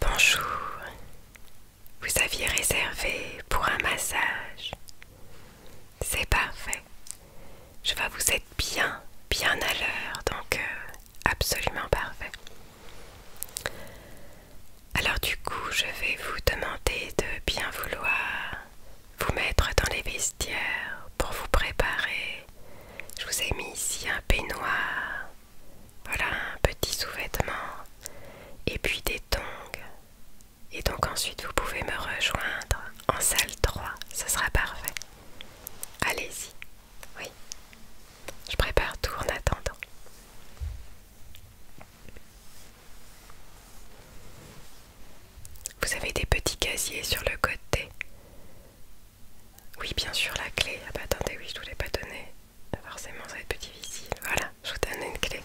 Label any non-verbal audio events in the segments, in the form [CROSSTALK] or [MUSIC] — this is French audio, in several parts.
Bonjour, vous aviez réservé pour un massage. C'est parfait. Je vois vous être bien, bien à l'heure, donc euh, absolument parfait. Alors du coup, je vais vous demander de bien vouloir vous mettre dans les vestiaires pour vous préparer je vous ai mis ici un peignoir, voilà un petit sous-vêtement et puis des tongs. Et donc ensuite vous pouvez me rejoindre en salle 3, ce sera parfait. Allez-y, oui. Je prépare tout en attendant. Vous avez des petits casiers sur le côté oui, bien sûr, la clé. Ah bah attendez, oui, je ne vous l'ai pas donnée. Forcément, ça va être plus difficile. Voilà, je vous donne une clé.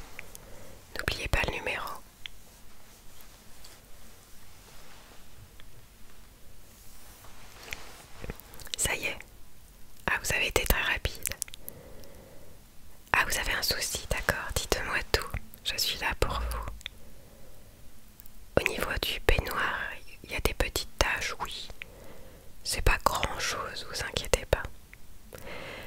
N'oubliez pas le numéro. Ça y est. Ah, vous avez été très rapide. Ah, vous avez un souci, d'accord. Dites-moi tout. Je suis là pour vous. Au niveau du peignoir, il y a des petites taches, oui. C'est pas grand chose, vous inquiétez pas.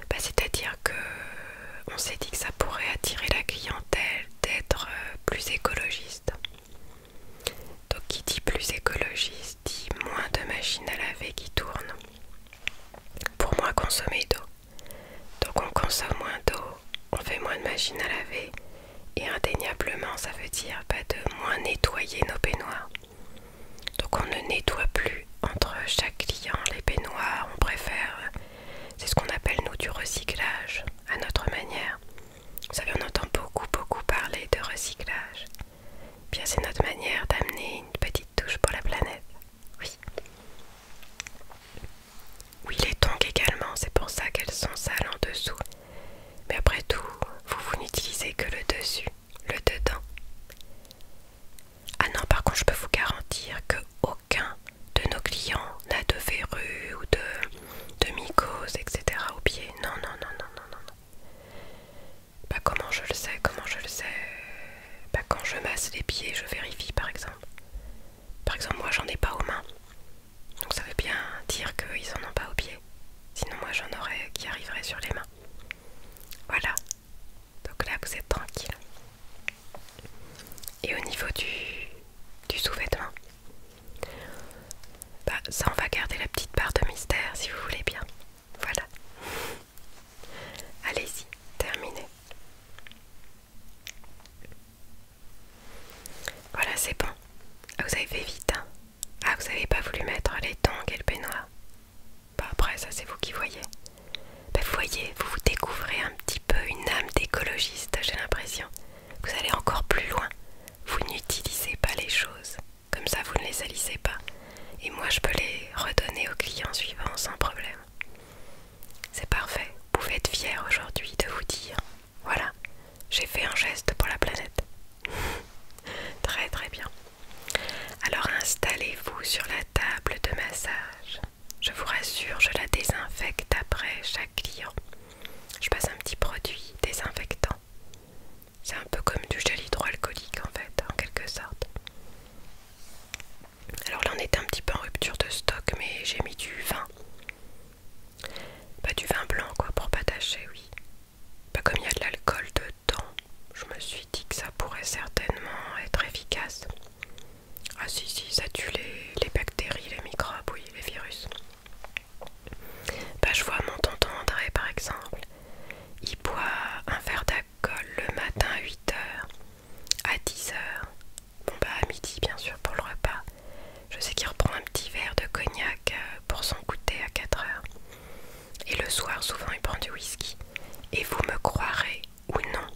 Bah, c'est-à-dire que euh, on s'est dit que ça pourrait attirer la clientèle d'être euh, plus écologiste. Donc qui dit plus écologiste dit moins de machines à laver qui tournent. Pour moins consommer d'eau. Donc on consomme moins d'eau, on fait moins de machines à laver et indéniablement, ça veut dire pas de moins nettoyer nos baignoires Donc on ne nettoie plus entre chaque client les baignoires on préfère, c'est ce qu'on appelle nous du recyclage à notre manière. Vous savez, on entend beaucoup, beaucoup parler de recyclage. Eh bien, c'est notre manière d'amener une petite touche pour la planète. Oui. Oui, les tongs également, c'est pour ça qu'elles sont sales en dessous. Mais après tout, vous, n'utilisez que le dessus, le dedans. Ah non, par contre, je peux vous garantir que aucun de nos clients n'a de verrues ou de, de mycoses, etc. au pied. Non, non, non, non, non, non, non. Bah comment je le sais, comment je le sais Bah quand je masse les pieds, je vérifie par exemple. Par exemple, moi j'en ai pas aux mains. Donc ça veut bien dire qu'ils en ont pas au pied. Sinon moi j'en aurais qui arriverait sur les mains. Voilà. Donc là vous êtes tranquille. Et au niveau du, du sous-vêtement, bah, ça on va garder la petite part de mystère si vous voulez bien. Voilà. Allez-y, terminez. Voilà, c'est bon. Ah, vous avez fait vite, hein. Ah, vous n'avez pas voulu mettre les tongs et le peignoir Bah après, ça c'est vous qui voyez. Mais bah, vous voyez, vous vous découvrez un petit peu une âme d'écologiste, j'ai l'impression. Vous allez encore plus loin. Vous n'utilisez pas les choses. Comme ça, vous ne les salissez pas. Et moi, je peux les redonner aux clients suivants sans problème. C'est parfait. Vous pouvez être fier aujourd'hui de vous dire voilà, j'ai fait un geste pour la planète. [LAUGHS] très très bien. Alors installez-vous sur la table de massage. Je vous rassure, je la désinfecte après chaque client. Je passe un petit produit désinfectant. C'est un peu comme du gel hydroalcoolique en fait, en quelque sorte. Alors là on est un petit peu en rupture de stock mais j'ai mis du vin. Bah du vin blanc quoi pour pas tâcher, oui. Bah comme il y a de l'alcool dedans, je me suis dit que ça pourrait certainement être efficace. Ah si si, ça tue les, bactéries, les microbes, oui, les virus. Bah je vois mon tonton André par exemple. Il boit un verre d'alcool le matin à 8h, à 10h, bon bah à midi bien sûr pour le repas, je sais qu'il reprend un petit verre de cognac euh, pour son goûter à 4 heures. Et le soir, souvent, il prend du whisky. Et vous me croirez ou non,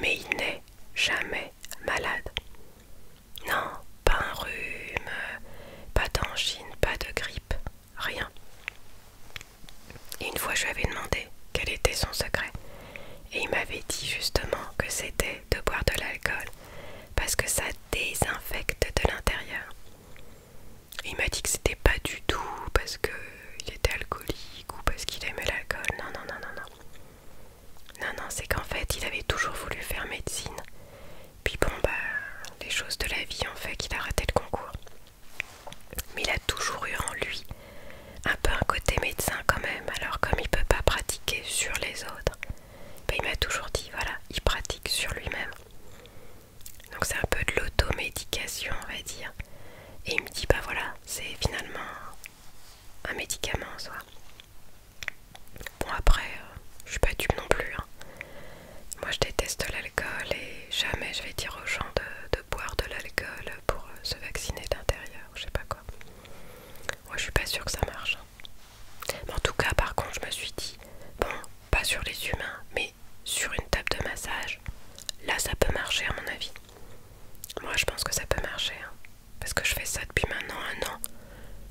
mais il n'est jamais malade. Non, pas un rhume, pas d'angine, pas de grippe, rien. Et une fois, je lui avais demandé quel était son secret. Et il m'avait dit justement que c'était de boire de l'alcool parce que ça désinfecte de l'intérieur. Il m'a dit que c'était pas du tout parce qu'il était alcoolique ou parce qu'il aimait l'alcool. Non, non, non, non, non. Non, non, c'est qu'en fait, il avait toujours voulu faire médecine. Puis bon, bah, les choses de la vie ont fait qu'il a raté le concours. Mais il a toujours eu en lui un peu un côté médecin quand même, alors comme il peut pas pratiquer sur les autres, bah, il m'a toujours dit, voilà, il pratique sur lui-même. Donc c'est un peu de l'automédication, on va dire. Et il me dit, bah voilà, c'est finalement un médicament en soi. Bon après, euh, je suis pas dupe non plus. Hein. Moi je déteste l'alcool et jamais je vais dire aux gens de, boire de l'alcool pour euh, se vacciner d'intérieur, je sais pas quoi. Moi je suis pas sûre que ça marche. Hein en tout cas, par contre, je me suis dit, bon, pas sur les humains, mais sur une table de massage, là ça peut marcher à mon avis. Moi je pense que ça peut marcher, hein. parce que je fais ça depuis maintenant un an.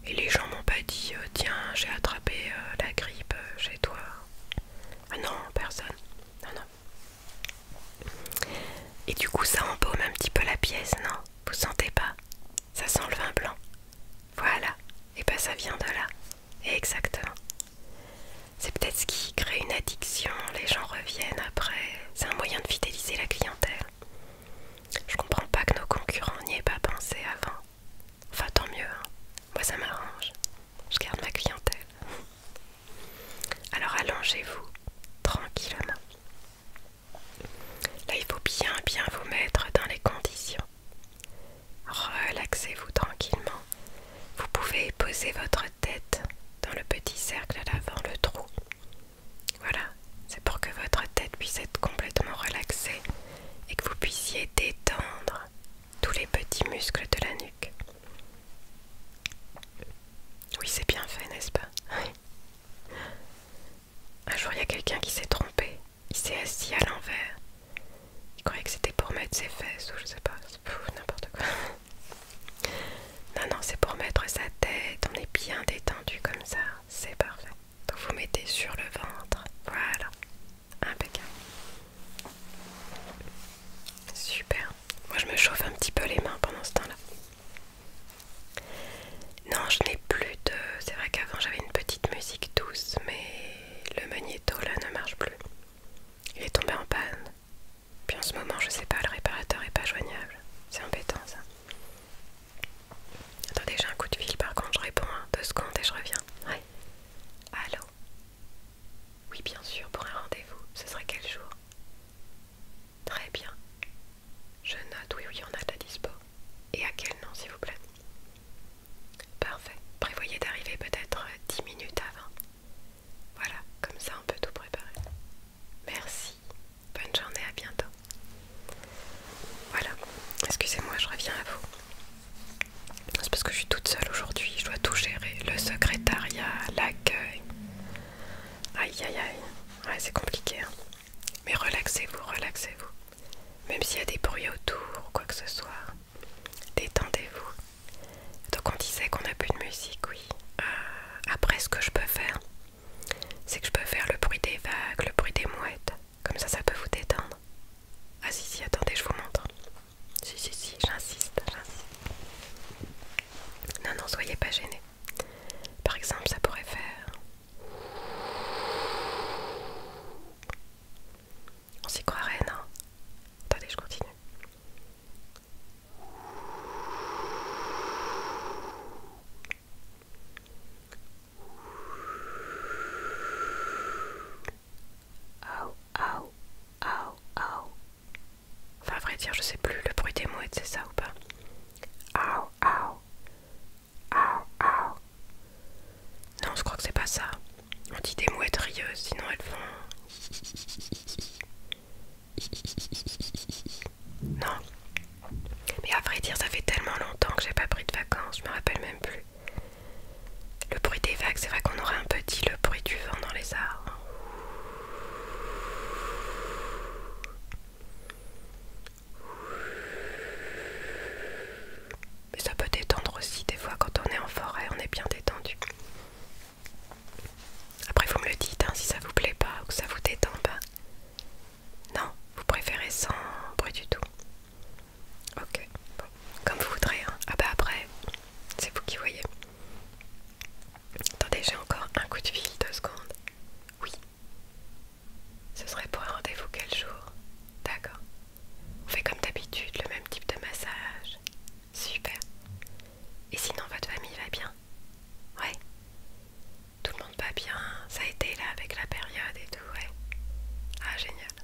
Et les gens m'ont pas dit, euh, tiens, j'ai attrapé euh, la grippe euh, chez toi. Ah non, personne. Non, non. Et du coup, ça embaume un petit peu la pièce, non Vous sentez pas ça sent le vin blanc. Voilà, et ben ça vient de là. Exactement. C'est peut-être ce qui crée une addiction, les gens reviennent après. C'est un moyen de fidéliser la clientèle. Je comprends pas que nos concurrents n'y aient pas pensé avant. Enfin, tant mieux, hein. moi ça m'arrange. Je garde ma clientèle. Alors allongez-vous tranquillement. Là, il faut bien bien vous mettre dans les conditions. Relaxez-vous tranquillement. Vous pouvez poser votre tête dans le petit cercle à l'avant, le trou. Voilà, c'est pour que votre tête puisse être complètement relaxée et que vous puissiez détendre tous les petits muscles de la nuque. Oui, c'est bien fait, n'est-ce pas un jour, il y a quelqu'un qui s'est trompé. Il s'est assis à l'envers. Il croyait que c'était pour mettre ses fesses ou je sais pas, n'importe quoi. [LAUGHS] Non, non, c'est pour mettre sa tête. On est bien détendu comme ça. C'est parfait. Donc vous mettez sur le ventre. Voilà. Impeccable. Super. Moi je me chauffe un petit peu les mains pendant ce temps-là. Non, je n'ai plus de... C'est vrai qu'avant j'avais une petite musique douce, mais le magnéto là ne marche plus. Il est tombé en panne. Puis en ce moment, je sais pas, le réparateur n'est pas joignable. C'est embêtant ça. Attendez, j'ai un coup de fil par contre, je réponds hein, deux secondes et je reviens. Ouais. Allô Oui, bien sûr, pour un rendez-vous. Ce serait quel jour Très bien. Je note, oui, oui, on a de la dispo. Et à quel nom, s'il vous plaît Parfait. Prévoyez d'arriver peut-être 10 minutes avant. Voilà, comme ça on peut tout préparer. Merci. Bonne journée, à bientôt. Voilà. Excusez-moi, je reviens à vous. C'est parce que je suis toute seule aujourd'hui, je dois tout gérer. Le secrétariat, l'accueil. Aïe aïe aïe. Ouais, c'est compliqué. Hein. Mais relaxez-vous, relaxez-vous. Même s'il y a des bruits autour ou quoi que ce soit, détendez-vous. Donc on disait qu'on n'a plus de musique, oui. Euh, après, ce que je peux faire, c'est que je peux faire le bruit des vagues, le bruit des mouettes. Comme ça, ça peut vous détendre. Ah si, si, attendez, je vous montre. Si, si, si, j'insiste, j'insiste. Non, non, soyez pas gênés. Par exemple, ça pourrait faire. On s'y croirait, non Attendez, je continue. Au, au, au, au. Enfin, à vrai dire, je sais plus le bruit des mouettes, c'est ça ou pas Au, non, je crois que c'est pas ça. On dit des mouettes rieuses, sinon elles font. Non. Mais à vrai dire, ça fait tellement longtemps que j'ai pas pris de vacances, je me rappelle même plus. Le bruit des vagues, c'est vrai qu'on aurait un petit le bruit du vent dans les arbres. Mais ça peut détendre aussi, des fois quand on est en forêt, on est bien détendu. Après vous me le dites, hein, si ça vous plaît pas ou que ça vous détend pas. Non, vous préférez sans bruit du tout. Ok, comme vous voudrez. Hein. Ah bah après, c'est vous qui voyez. Attendez, j'ai encore un coup de fil, deux secondes. Oui, ce serait pour un rendez-vous quel jour D'accord. On fait comme d'habitude le même type de massage. Super. Et sinon votre famille va bien Ouais. Tout le monde va bien. Ça a été là avec la période et tout, ouais. Ah génial.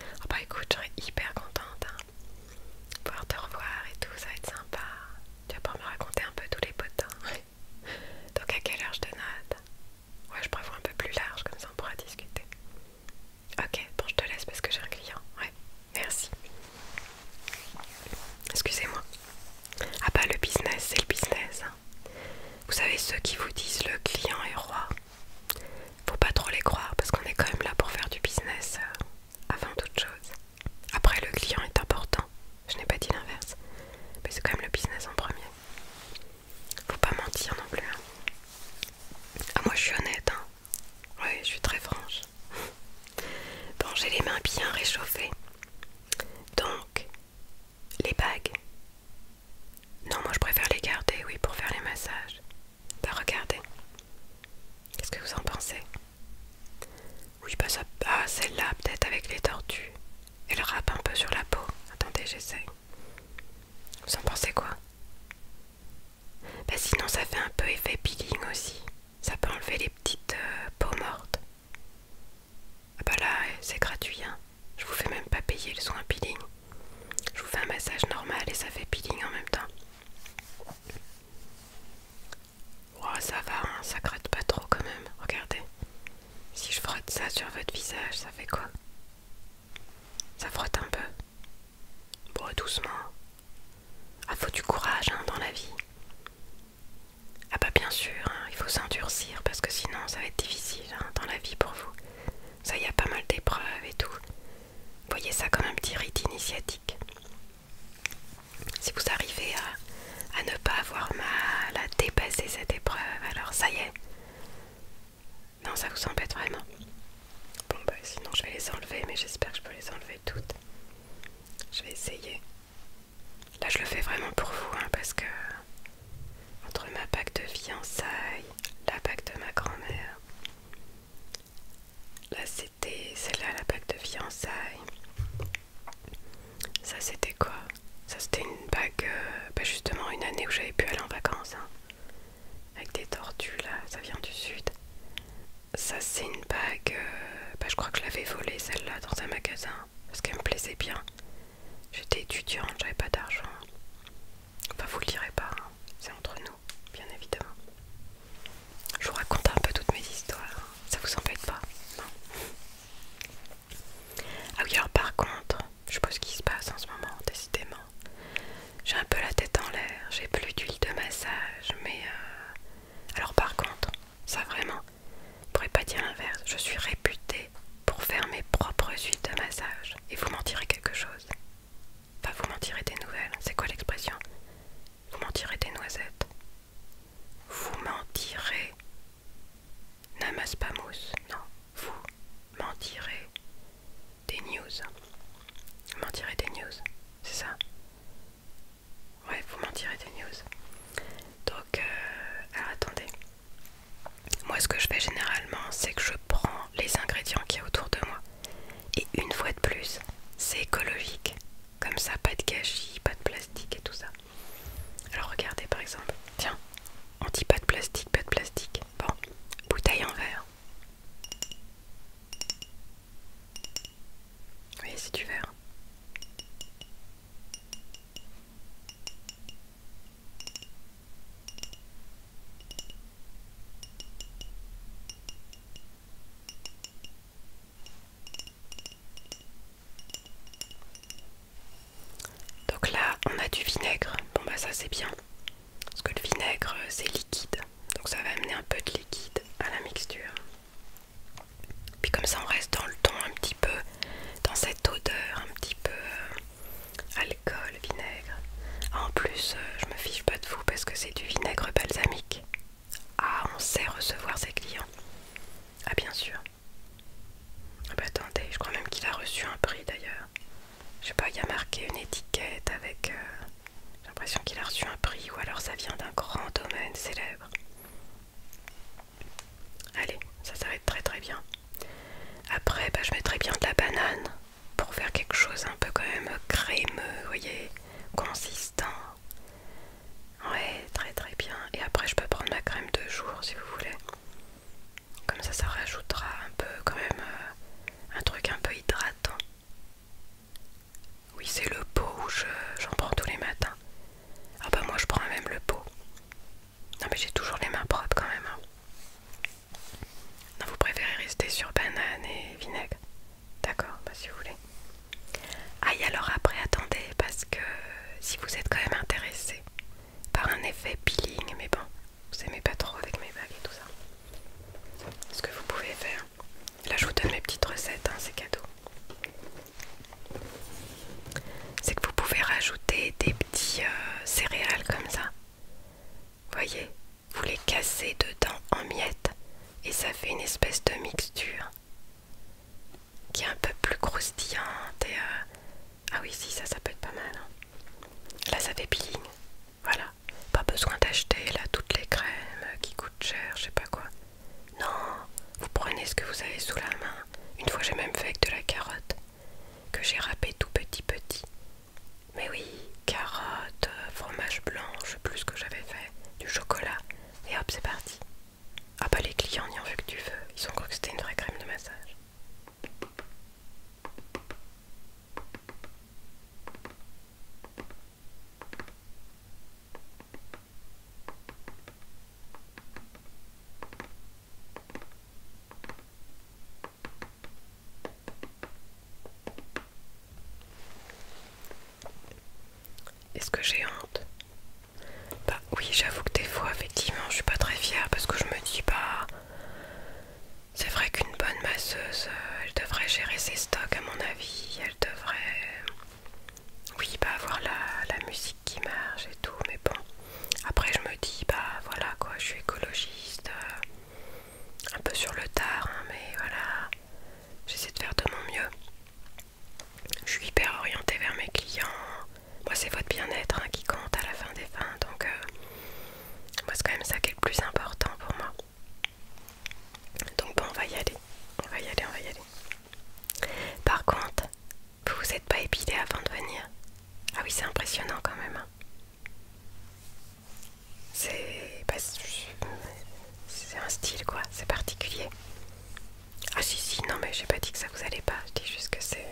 Ah bah écoute, j'en hyper contente. De hein. Pouvoir te revoir et tout, ça va être sympa. Tu vas pouvoir me raconter un peu tous les potins. Donc à quelle heure je te note Ouais, je prévois un peu plus large, comme ça on pourra discuter. Ok, bon, je te laisse parce que j'ai un client. Ouais, merci. Excusez-moi. Ah bah le business, c'est le business. Hein. Vous savez, ceux qui vous disent le client est roi, faut pas trop les croire parce qu'on est quand même là pour faire du business euh, avant toute chose. Après, le client est important. Je n'ai pas dit l'inverse. Mais c'est quand même le business en premier. Faut pas mentir non plus. Hein. Ah, moi je suis honnête. Hein. Oui, je suis très franche. [LAUGHS] Bon, j'ai les mains bien réchauffées. Donc, les bagues. Non, moi je préfère les garder, oui, pour faire les massages. Bah, regardez. Qu'est-ce que vous en pensez oui, bah ça. Ah, celle-là, peut-être avec les tortues. Elle râpe un peu sur la peau. Attendez, j'essaie Vous en pensez quoi Bah, sinon, ça fait un peu effet peeling aussi. Ça peut enlever les petites euh, peaux mortes. Ah, bah là, c'est gratuit, hein. Je vous fais même pas payer le soin peeling. Je vous fais un massage normal et ça fait peeling en même temps. Oh, ça va, hein, ça gratte pas trop quand même. Regardez. Si je frotte ça sur votre visage, ça fait quoi Ça frotte un peu. Bon, doucement. Ah, faut du courage hein, dans la vie. Ah bah bien sûr, hein, il faut s'endurcir parce que sinon ça va être difficile dans la vie pour vous. Ça y a pas mal d'épreuves et tout. Voyez ça comme un petit rite initiatique. Si vous arrivez à, ne pas avoir mal, à dépasser cette épreuve, alors ça y est. Non, ça vous embête vraiment. Bon, bah sinon je vais les enlever, mais j'espère que je peux les enlever toutes. Je vais essayer. Là, je le fais vraiment pour vous, hein, parce que entre ma bague de fiançailles, la bague de ma grand-mère, là c'est c'était celle-là, la bague de fiançailles. Ça, c'était quoi Ça, c'était une bague, euh, bah, justement, une année où j'avais pu aller en vacances. Hein. avec des tortues, là, ça vient du sud. Ça, c'est une bague, euh, bah, je crois que je l'avais volée, celle-là, dans un magasin. Parce qu'elle me plaisait bien. J'étais étudiante, j'avais pas d'argent. Enfin, vous le direz pas, hein. c'est entre nous, bien évidemment. Je vous raconte un peu toutes mes histoires. Ça vous embête pas Non Ah oui, alors par contre, je sais pas ce qui se passe en ce moment, décidément. J'ai un peu la tête en l'air, j'ai plus d'huile de massage, mais... Euh, alors par contre, ça vraiment, je pourrais pas dire l'inverse, je suis réputée pour faire mes propres huiles de massage. Et vous mentirez quelque chose Enfin, vous m'en des nouvelles. C'est quoi l'expression Vous mentirez des noisettes. Vous mentirez. N'amasse pas mousse, non. Vous mentirez des news. Vous mentirez des news, c'est ça Ouais, vous mentirez des news. Donc, euh, alors attendez. Moi, ce que je fais généralement, c'est que je prends les ingrédients qu'il y a autour de moi. Et une fois de plus, c'est écologique. Comme ça, pas de gâchis, pas de plastique et tout ça. Alors regardez par exemple, tiens, on dit pas de plastique, pas de plastique. Bon, bouteille en verre. Oui, c'est du verre. Donc là, on a du vinaigre. Bon bah ça c'est bien. Parce que le vinaigre, euh, c'est liquide. Donc ça va amener un peu de liquide à la mixture. Puis comme ça, on reste dans le ton un petit peu, dans cette odeur un petit peu euh, alcool, vinaigre. Ah, en plus, euh, je me fiche pas de vous parce que c'est du vinaigre balsamique. Ah, on sait recevoir ses clients. Ah, bien sûr. Ah bah attendez, je crois même qu'il a reçu un prix d'ailleurs. Je sais pas, il y a marqué une étiquette avec... Euh, j'ai l'impression qu'il a reçu un prix ou alors ça vient d'un grand domaine célèbre. Allez, ça, s'arrête très très bien. Après, bah, je mettrai bien de la banane pour faire quelque chose un peu quand même crémeux, vous voyez, consistant. Ouais, très très bien. Et après, je peux prendre ma crème de jour si vous voulez. Comme ça, ça rajoutera un peu, quand même, euh, un truc un peu hydratant. Oui, c'est le pot où j'en prends tous les matins. Ah bah moi, je prends même le pot. Non mais j'ai toujours les mains propres quand même. Hein. Non, vous préférez rester sur banane et vinaigre. D'accord, bah, si vous voulez. Ah alors après attendez parce que si vous êtes quand même intéressé par un effet peeling, mais bon, vous aimez pas trop avec mes bagues et tout ça. Ce que vous pouvez faire. Là je mes petites recettes, hein, c'est cadeau. C'est que vous pouvez rajouter des petits euh, céréales comme ça. Voyez, vous les cassez dedans en miettes et ça fait une espèce de mixture qui est un peu plus croustillante et euh, ah oui si ça ça peut être pas mal hein. là ça fait peeling voilà pas besoin d'acheter là toutes les crèmes qui coûtent cher je sais pas quoi non vous prenez ce que vous avez sous la main une fois j'ai même fait avec de la carotte que j'ai râpé tout petit petit mais oui carotte euh, fromage blanc je sais plus ce que j'avais fait du chocolat et hop, c'est parti. Ah bah les clients n'y ont vu que tu veux, Ils ont cru que c'était une vraie crème de massage. Est-ce que j'ai honte Bah oui, j'avoue que des fois, effectivement, je suis pas très fière parce que je me dis, bah... C'est vrai qu'une bonne masseuse, euh, elle devrait gérer ses stocks à mon avis, elle devrait... Euh, oui, bah avoir la, musique qui marche et tout, mais bon. Après je me dis, bah voilà quoi, je suis écologiste, euh, un peu sur le tard, hein, mais voilà j'essaie de faire de mon mieux. Je suis hyper orientée vers mes clients. Moi, c'est votre bien-être hein, qui compte à la fin des fins. Donc, euh, moi, c'est quand même ça qui est le plus important pour moi. Donc, bon, on va y aller. On va y aller, on va y aller. Par contre, vous vous êtes pas épilé avant de venir. Ah oui, c'est impressionnant quand même. Hein. C'est. Bah, c'est un style quoi, c'est particulier. Ah si si, non mais j'ai pas dit que ça vous allait pas, je dis juste que c'est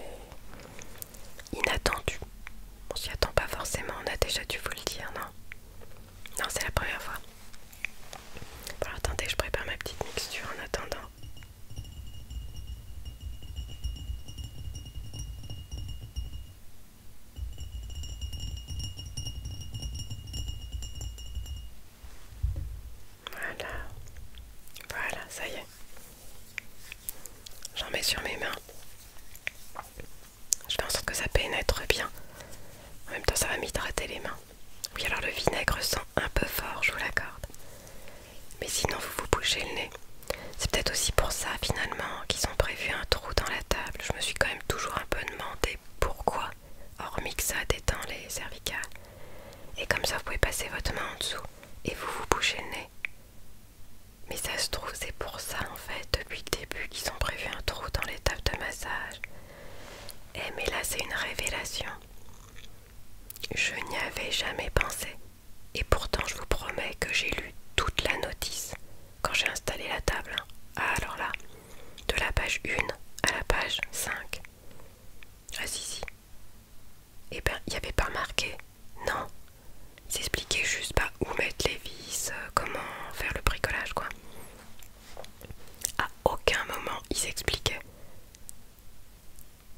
inattendu. On s'y attend pas forcément, on a déjà dû vous le dire, non Non, c'est la première fois. Bon attendez, je prépare ma petite mixture en attendant. Voilà. Voilà, ça y est. J'en mets sur mes mains. Je fais en sorte que ça pénètre bien. En même temps, ça va m'hydrater les mains. Oui, alors le vinaigre sent un peu fort, je vous l'accorde. Mais sinon, vous vous bouchez le nez. C'est peut-être aussi pour ça, finalement, qu'ils ont prévu un trou dans la table. Je me suis quand même toujours un peu demandé pourquoi hormis que ça détend les cervicales. Et comme ça, vous pouvez passer votre main en dessous et vous vous bouchez le nez. Mais ça se trouve, c'est pour ça en fait, depuis le début, qu'ils ont prévu un trou dans les tables de massage. Eh, mais là, c'est une révélation. Je n'y avais jamais pensé. Et pourtant, je vous promets que j'ai lu toute la notice quand j'ai installé la table. Hein. Ah, alors là de la page 1 à la page 5. Ah si si. et eh ben, il n'y avait pas marqué. Non. S'expliquer juste pas bah, où mettre les vis, euh, comment faire le bricolage, quoi. À aucun moment ils expliquaient.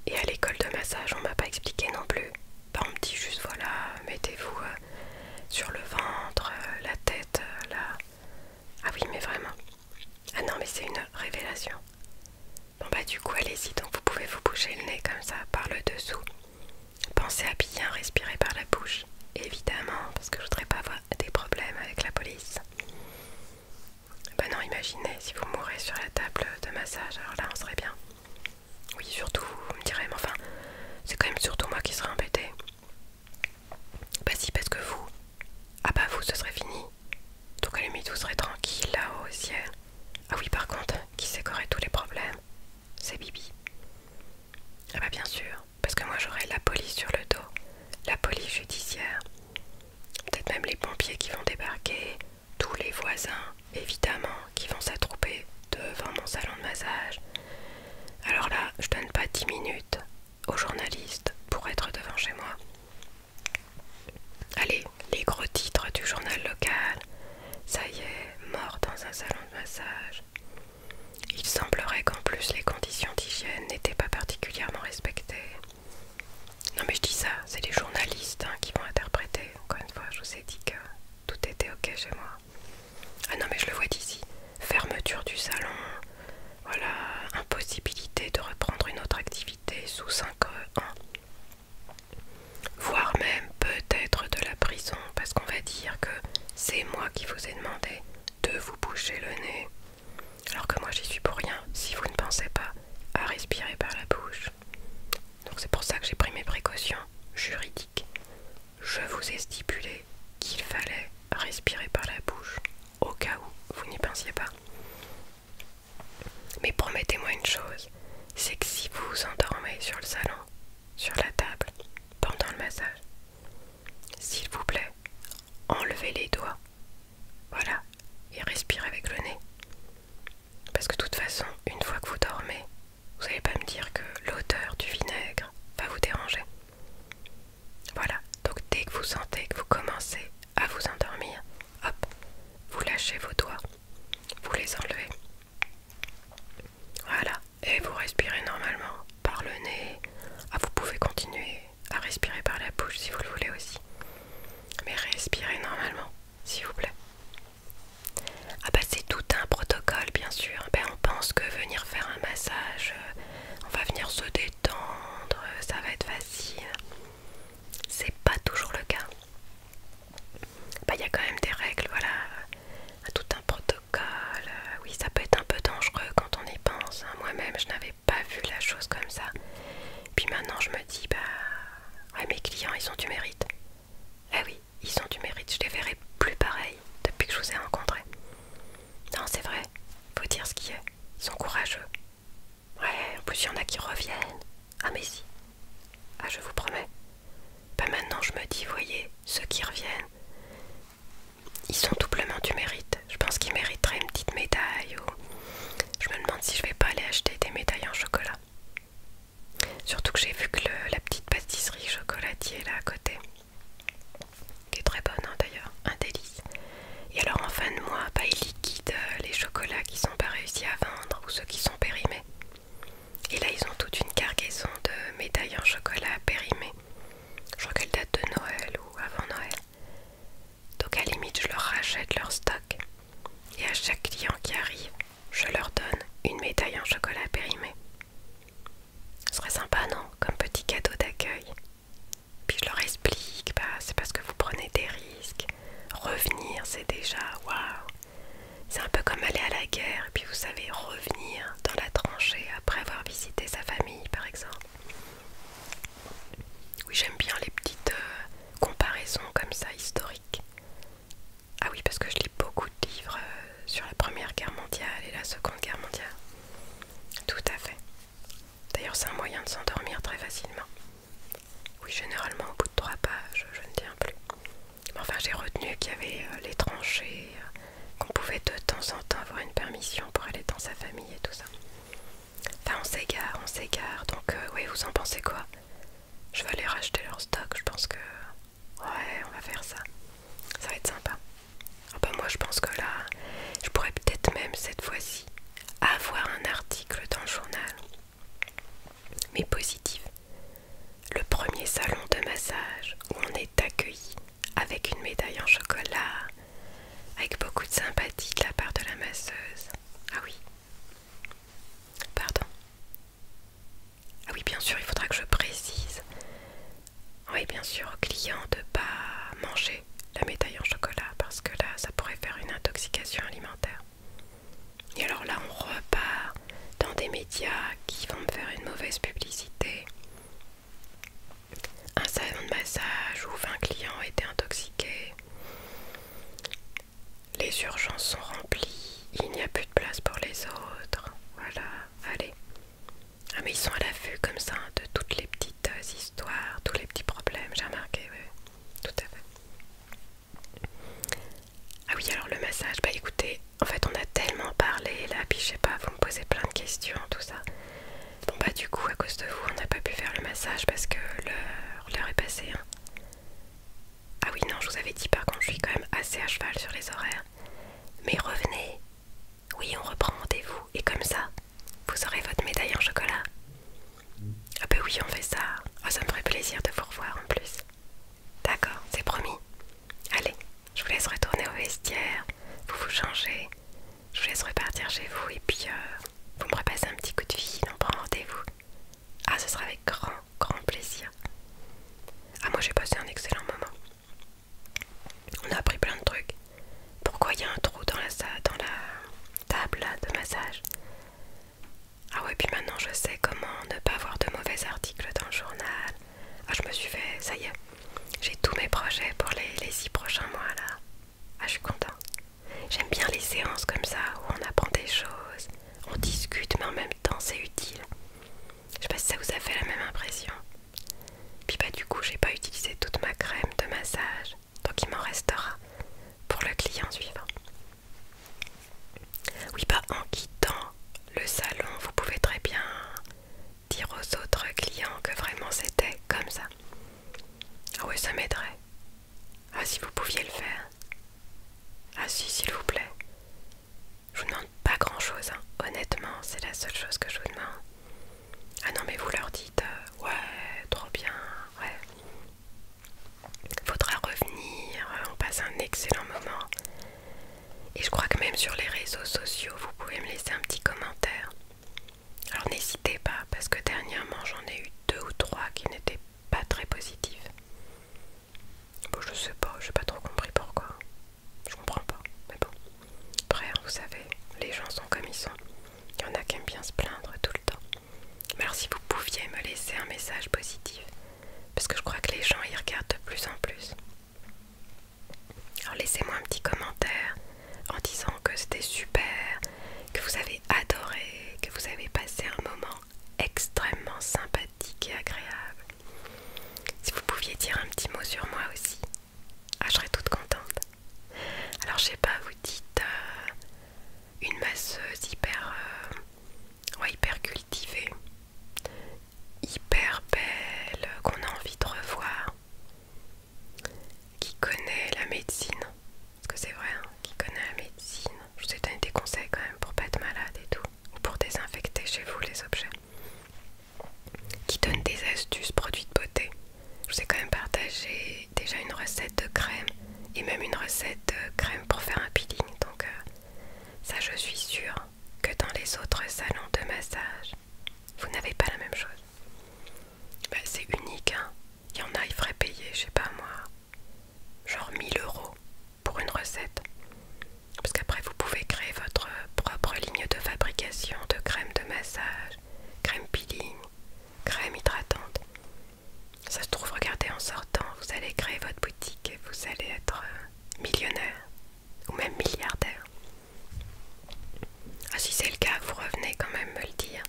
Et à l'école de massage, on m'a pas expliqué non plus. Bah, on me dit juste voilà, mettez-vous euh, sur le ventre, euh, la tête, là. Ah oui, mais vraiment. Ah non, mais c'est une révélation. Bon bah du coup, allez-y, donc vous pouvez vous boucher le nez comme ça, par le dessous. Pensez à bien respirer par la bouche, évidemment, parce que je voudrais pas avoir des problèmes avec la police. Bah non, imaginez, si vous mourrez sur la table de massage, alors là, on serait bien. Oui, surtout, vous me direz, mais enfin, c'est quand même surtout moi qui serais embêtée. Bah si, parce que vous, ah bah vous, ce serait fini. Donc à la serait tranquille là-haut au ciel. Ah oui, par contre, qui qu'aurait tous les problèmes C'est Bibi. Ah bah bien sûr, parce que moi j'aurais la police sur le dos, la police judiciaire, peut-être même les pompiers qui vont débarquer, tous les voisins, évidemment, qui vont s'attrouper devant mon salon de massage, alors là, je donne pas 10 minutes aux journalistes pour être devant chez moi. Allez, les gros titres du journal local. Ça y est, mort dans un salon de massage. Il semblerait qu'en plus les conditions d'hygiène n'étaient pas particulièrement respectées. Non mais je dis ça, c'est les journalistes hein, qui vont interpréter. Encore une fois, je vous ai dit que tout était ok chez moi. Ah non, mais je le vois d'ici. Fermeture du salon. Voilà, impossibilité de reprendre une autre activité sous 5 ans. Euh, Voire même peut-être de la prison, parce qu'on va dire que c'est moi qui vous ai demandé de vous boucher le nez. Alors que moi j'y suis pour rien si vous ne pensez pas à respirer par la bouche. Donc c'est pour ça que j'ai pris mes précautions juridiques je vous ai stipulé qu'il fallait respirer par la bouche au cas où vous n'y pensiez pas. Mais promettez-moi une chose, c'est que si vous vous endormez sur le salon, sur la table, pendant le massage, s'il vous plaît, enlevez les doigts. Voilà, et respirez avec le nez. Parce que de toute façon, une fois que vous dormez, vous n'allez pas me dire que l'odeur du vinaigre va vous déranger. Voilà, donc dès que vous sentez que vous commencez à vous endormir, hop, vous lâchez vos doigts, vous les enlevez. Voilà, et vous respirez normalement par le nez. Ah, vous pouvez continuer à respirer par la bouche si vous le voulez aussi. Mais respirez normalement, s'il vous plaît. Ah bah c'est tout un protocole bien sûr. Ben, on pense que venir faire un massage, euh, on va venir se détendre, euh, ça va être facile. C'est pas toujours le cas. Ben, il ya y a quand même des règles, voilà, tout un protocole. Euh, oui, ça peut être un peu dangereux quand on y pense. Hein. Moi-même, je n'avais pas vu la chose comme ça. Puis maintenant, je me dis, bah, ah, mes clients, ils ont du mérite. Eh oui, ils ont du mérite, je les verrai plus pareil depuis que je vous ai rencontrés. Non, c'est vrai, faut dire ce qu'il y ils sont courageux. Ouais, en plus il y en a qui reviennent. Ah mais si. Ah je vous promets. Pas bah, maintenant je me dis, voyez, ceux qui reviennent, ils sont doublement du mérite. Je pense qu'ils mériteraient une petite médaille ou... Je me demande si je vais pas aller acheter des médailles en chocolat. Surtout que j'ai vu que la petite pâtisserie chocolatier là à côté, qui est très bonne hein, d'ailleurs, un délice. Et alors en fin de mois, bah, ils liquident euh, les chocolats qui sont pas réussis à vendre ou ceux qui sont périmés. Et là, ils ont toute une cargaison de médailles en chocolat périmées. Je crois qu'elles datent de Noël ou avant Noël. Donc à limite, je leur rachète leur stock. Et à chaque client qui arrive, je leur donne une médaille en chocolat périmée. Ce serait sympa, non Comme petit cadeau d'accueil. Puis je leur explique, bah, c'est parce que vous prenez des risques. Revenir, c'est déjà waouh. C'est un peu comme aller à la guerre, et puis vous savez, revenir dans la tranchée après avoir visité sa famille, par exemple. Oui, j'aime bien les petites euh, comparaisons comme ça, historiques. Ah oui, parce que je lis beaucoup de livres euh, sur la Première Guerre mondiale et la Seconde Guerre mondiale. Tout à fait. D'ailleurs, c'est un moyen de s'endormir très facilement. Oui, généralement au bout de trois pages, je ne tiens plus. Enfin, j'ai retenu qu'il y avait euh, les tranchées, euh, qu'on pouvait de temps en temps avoir une permission pour aller dans sa famille et tout ça. Enfin, on s'égare, on s'égare. Donc, euh, oui, vous en pensez quoi Je vais aller racheter leur stock. Je pense que Ouais, on va faire ça. Ça va être sympa. Ah bah, moi je pense que là, je pourrais peut-être même cette fois-ci avoir un article dans le journal. Mais positif. Le premier salon de massage où on est accueilli avec une médaille en chocolat, avec beaucoup de sympathie de la part de la masseuse. Ah oui. Pardon. Ah oui, bien sûr, il faudra que je précise. Oui, bien sûr, aux clients de pas manger la médaille en chocolat parce que là, ça pourrait faire une intoxication alimentaire. Et alors là, on repart dans des médias qui vont me faire une mauvaise publicité. Un salon de massage où 20 clients été intoxiqués. Les urgences sont remplies, il n'y a plus de place pour les autres. Voilà, allez, ah mais ils sont à la vue comme ça hein, de toutes les petites euh, histoires, tous les petits problèmes, j'ai remarqué, oui, tout à fait. Ah oui, alors le massage, bah écoutez, en fait on a tellement parlé là, puis je sais pas, vous me posez plein de questions, tout ça. Bon bah du coup, à cause de vous, on n'a pas pu faire le massage parce que l'heure est passée. Hein. Ah oui, non, je vous avais dit par contre, je suis quand même assez à cheval sur les horaires. Mais revenez. Oui, on reprend rendez-vous. Et comme ça, vous aurez votre médaille en chocolat. Ah ben oui, on fait ça. Oh, ça me ferait plaisir de vous revoir en plus. D'accord, c'est promis. Allez, je vous laisse retourner au vestiaire. Vous vous changez. Je vous laisse repartir chez vous et puis euh, vous me repassez un petit coup de fil. On prend rendez-vous. Ah, ce sera avec grand, grand plaisir. Ah, moi j'ai passé un excellent moment. On a appris plein de trucs. Pourquoi il y a un trou dans la, table de massage Ah ouais, puis maintenant je sais comment ne pas avoir de mauvais articles dans le journal. Ah, je me suis fait, ça y est, j'ai tous mes projets pour les, les six prochains mois là. Ah, je suis contente. J'aime bien les séances comme ça où on apprend des choses, on discute, mais en même temps c'est utile. Je sais pas si ça vous a fait la même impression. Puis bah du coup j'ai pas utilisé toute ma crème de massage, donc il m'en restera pour le client suivant. Oui bah en quittant le salon, vous pouvez très bien dire aux autres clients que vraiment c'était comme ça. Ah ouais ça m'aiderait. Ah si vous pouviez le faire. Ah si s'il vous plaît. Je vous demande pas grand chose, hein. honnêtement, c'est la seule chose que je vous demande. Ah non, mais vous leur dites euh, ouais, trop bien, ouais. Faudra revenir, on passe un excellent moment. Et je crois que même sur les réseaux sociaux, vous pouvez me laisser un petit commentaire. Alors n'hésitez pas, parce que dernièrement j'en ai eu deux ou trois qui n'étaient pas très positifs. Bon, je sais pas, j'ai pas trop compris pourquoi. Je comprends pas, mais bon. Après, hein, vous savez, les gens sont comme ils sont. Il y en a qui aiment bien se plaindre tout le temps. Mais alors, si vous pouviez me laisser un message positif, parce que je crois que les gens y regardent de plus en plus. Alors, laissez-moi un petit commentaire en disant que c'était super, que vous avez adoré, que vous avez passé un moment extrêmement sympathique et agréable. Si vous pouviez dire un petit mot sur moi aussi, ah, je serais toute contente. Alors, je sais pas, vous dites euh, une masseuse hyper, euh, hyper cultivée, hyper belle, euh, qu'on a envie de revoir, qui connaît la médecine. Parce que c'est vrai, hein, qui connaît la médecine. Je vous ai donné des conseils quand même pour pas être malade et tout pour désinfecter chez vous les objets, qui donnent des astuces produits de beauté. Je vous ai quand même partagé déjà une recette de crème et même une recette de crème pour faire un peeling. Donc euh, ça je suis sûre que dans les autres salons de massage, vous n'avez pas la même chose. Bah, c'est unique, hein. Il y en a, il ferait payer, je sais pas moi, genre 1000 euros pour une recette. Parce qu'après, vous pouvez créer votre propre ligne de fabrication de crème de massage, crème peeling, crème hydratante. Ça se trouve, regardez, en sortant, vous allez créer votre boutique et vous allez être euh, millionnaire ou même milliardaire. Ah, si c'est le cas, vous revenez quand même me le dire.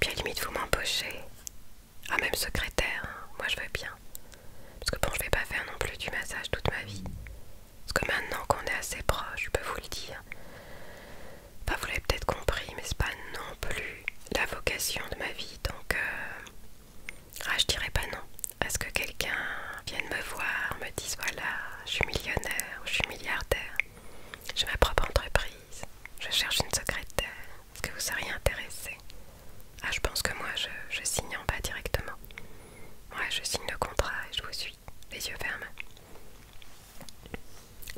Puis à limite, vous m'embauchez. Ah, même secrétaire, hein, moi je veux bien. Parce que bon, je vais pas faire non plus du massage toute ma vie. Parce que maintenant qu'on est assez proche, je peux vous le dire. Pas vous l'avez peut-être compris, mais c'est pas non plus la vocation de ma vie. Donc, euh, ah, je dirais pas non à ce que quelqu'un vienne me voir, me dise voilà, je suis millionnaire je suis milliardaire, j'ai ma propre entreprise, je cherche une secrétaire, est-ce que vous seriez intéressé ah, je pense que moi, je, signe en bas directement. Ouais, je signe le contrat et je vous suis, les yeux fermes.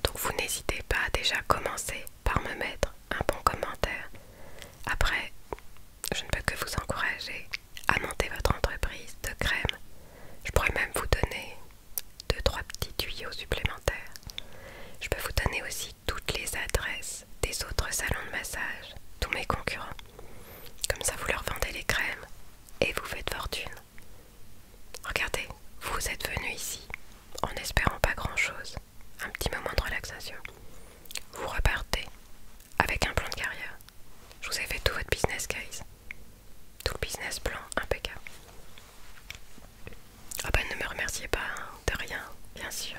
Donc vous n'hésitez pas à déjà commencer par me mettre un bon commentaire. Après, je ne peux que vous encourager à monter votre entreprise de crème. Je pourrais même vous donner deux trois petits tuyaux supplémentaires. Je peux vous donner aussi toutes les adresses des autres salons de massage, tous mes concurrents. Comme ça, vous leur vendez les crèmes et vous faites fortune. Regardez, vous êtes venu ici en espérant pas grand-chose, un petit moment de relaxation. Vous repartez avec un plan de carrière. Je vous ai fait tout votre business case, tout le business plan impeccable. Ah oh ne me remerciez pas, hein, de rien, bien sûr.